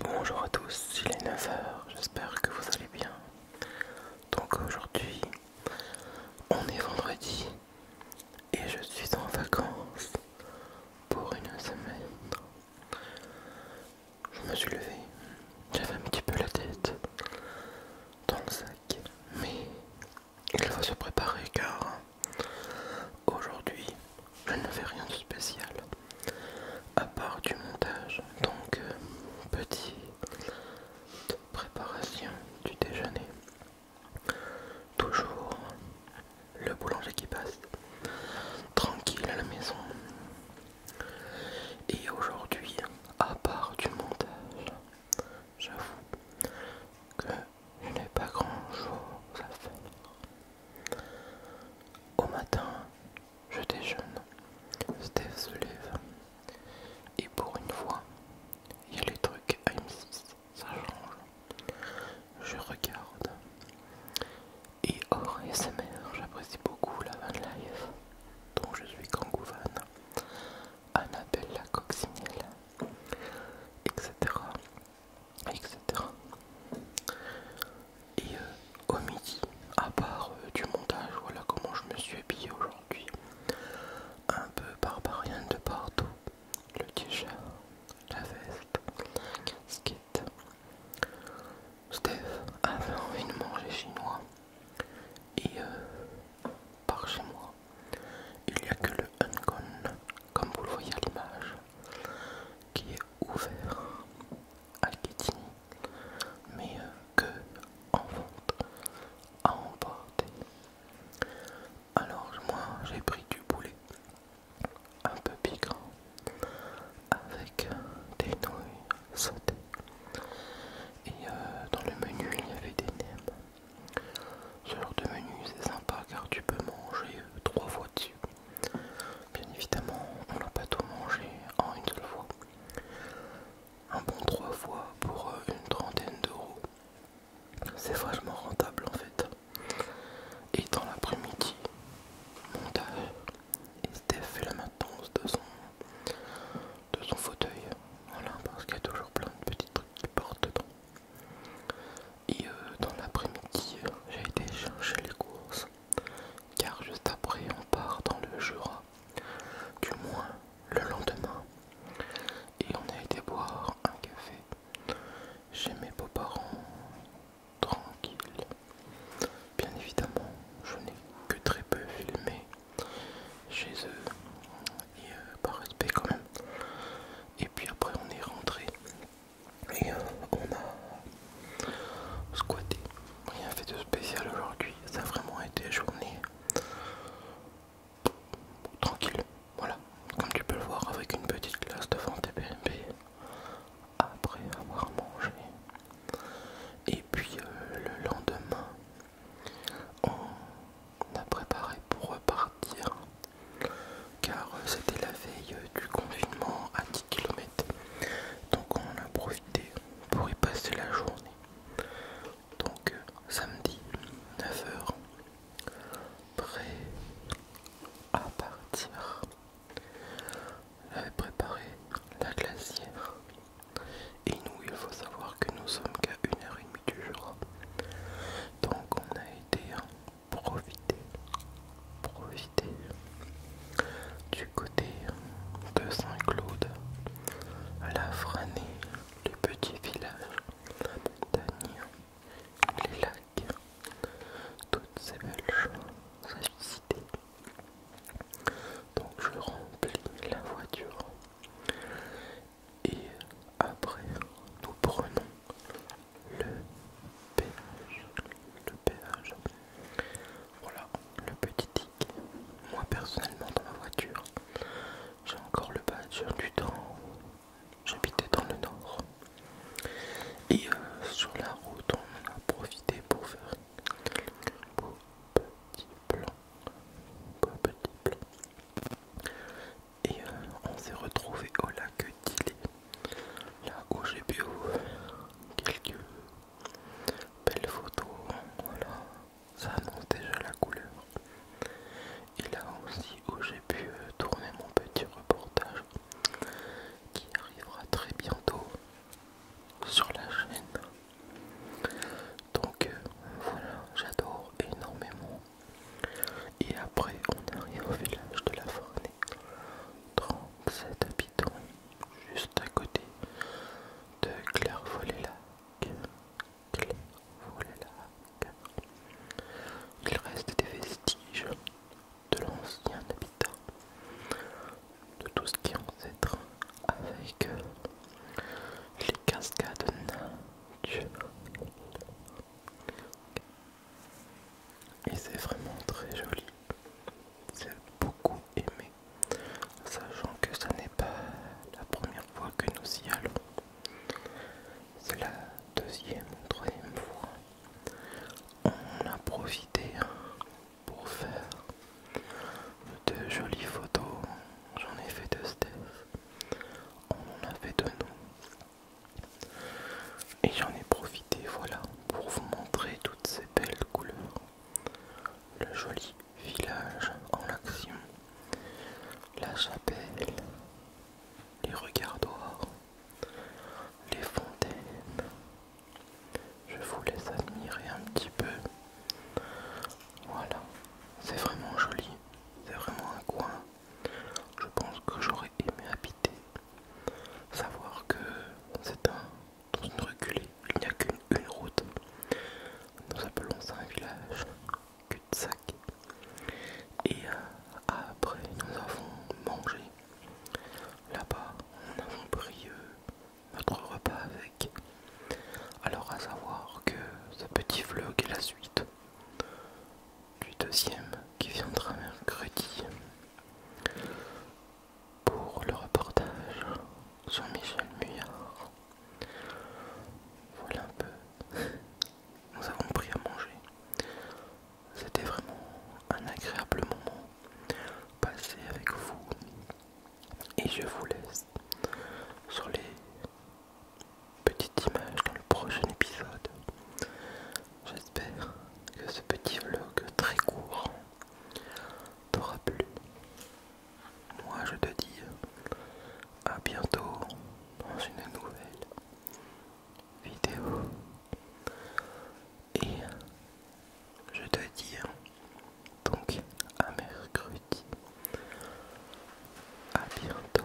Bonjour à tous, il est 9h, j'espère que vous allez bien. Donc aujourd'hui, on est vendredi et je suis en vacances pour une semaine. Je me suis levé, j'avais un petit peu la tête dans le sac, mais il faut se préparer car aujourd'hui je ne fais rien de spécial à part du montage donc euh, petite préparation du déjeuner toujours le boulanger qui passe tranquille à la maison et aujourd'hui à part du montage j'avoue que je n'ai pas grand chose à faire. Au matin, je déjeune. Steve se lève. Et pour une fois, il y a les trucs m 6 ça change. Je regarde. Et hors SMR, j'apprécie beaucoup la van life dont je suis Kangouvan. Annabelle la etc. etc. Et euh, au midi, à part euh, du montage, voilà comment je me suis habillé aujourd'hui. Un peu barbarien de partout. Le t-shirt, la veste, skate casquette. Steph avait envie de manger chinois. Et euh, par chez moi, il n'y a que le Uncon, comme vous le voyez à l'image, qui est ouvert à Kitty mais euh, que en vente à emporter. Alors moi j'ai pris du boulet, un peu piquant avec des nouilles sautées et euh, dans le menu il y avait des nems ce genre de menu c'est sympa car tu peux manger euh, trois fois dessus. Bien évidemment, on n'a pas tout mangé en une seule fois. Un bon trois fois pour euh, une trentaine d'euros. C'est vachement rentable en fait. Et dans l'après-midi, montage. Et Steph fait la maintenance de son, de son fauteuil. Voilà, parce qu'il y a toujours plein de petits trucs qui portent dedans. Et euh, dans l'après-midi, j'ai été chercher les courses, car juste après, on part dans le Jura, du moins le lendemain. Et on a été boire un café chez mes beaux-parents, tranquille. Bien évidemment, je n'ai que très peu filmé chez eux et euh, par respect quand même. Et puis après on est rentré et euh, on a squatté. Rien fait de spécial aujourd'hui. Ça a vraiment été journée tranquille. Voilà, comme tu peux le voir avec une petite glace devant TPMP après avoir mangé. Et puis euh, le lendemain, on a préparé pour repartir car euh, c'était la veille euh, du confinement à 10 km donc on a profité pour y passer la journée donc euh, samedi 9h prêt à partir j'avais préparé la glacière et nous il faut savoir que nous sommes qu'à 1h30 du jour donc on a été profiter profiter du côté de Saint-Claude à la franée le petit village la les lacs toutes ces belles choses à visiter donc je remplis la voiture et après, nous prenons le péage. Le péage. Voilà le petit tic. Moi personnellement dans ma voiture, j'ai encore le badge du temps. J'habitais dans le nord. Et euh, sur la route, on a profité pour faire quelques petit petits petits et euh, on s'est retrouvé au lac d'Ile, là où j'ai pu quelques belles photos. Voilà, ça annonce déjà la couleur. Et là aussi où j'ai pu euh, tourner mon petit reportage qui arrivera très bientôt sur la chaîne. Donc euh, voilà, j'adore énormément et après, on arrive au village de la Fornée, 37 habitants, juste à côté de Clairvaux-les-Lacs. Il reste des vestiges de l'ancien habitat, de tout ce qui est ancêtre, avec les cascades nains et c'est vraiment très joli j'ai beaucoup aimé sachant que ce n'est pas la première fois que nous y allons c'est la deuxième troisième fois on a profité pour faire de jolies photos j'en ai fait deux, Steph on en a fait de nous. Et j'en ai profité, voilà, pour vous montrer toutes ces belles couleurs. Le joli village en action, la chapelle, les d'or, les fontaines. Je vous laisse admirer un petit peu. Voilà, c'est vraiment joli, c'est vraiment un coin je pense que j'aurais aimé habiter. Savoir que c'est un. Dans une reculée, il n'y a qu'une route. Nous appelons ça un village cul-de-sac. Et euh, après, nous avons mangé. Là-bas, nous avons pris euh, notre repas avec. Alors, à savoir que ce petit vlog est la suite du deuxième qui viendra mercredi pour le reportage sur michel Muyard. Voilà un peu. Nous avons pris à manger. C'était vraiment un agréable moment passé avec vous. Et je vous laisse sur les petite image dans le prochain épisode. J'espère que ce petit vlog très court t'aura plu. Moi je te dis à bientôt dans une nouvelle vidéo. Et je te dis donc à mercredi. À bientôt.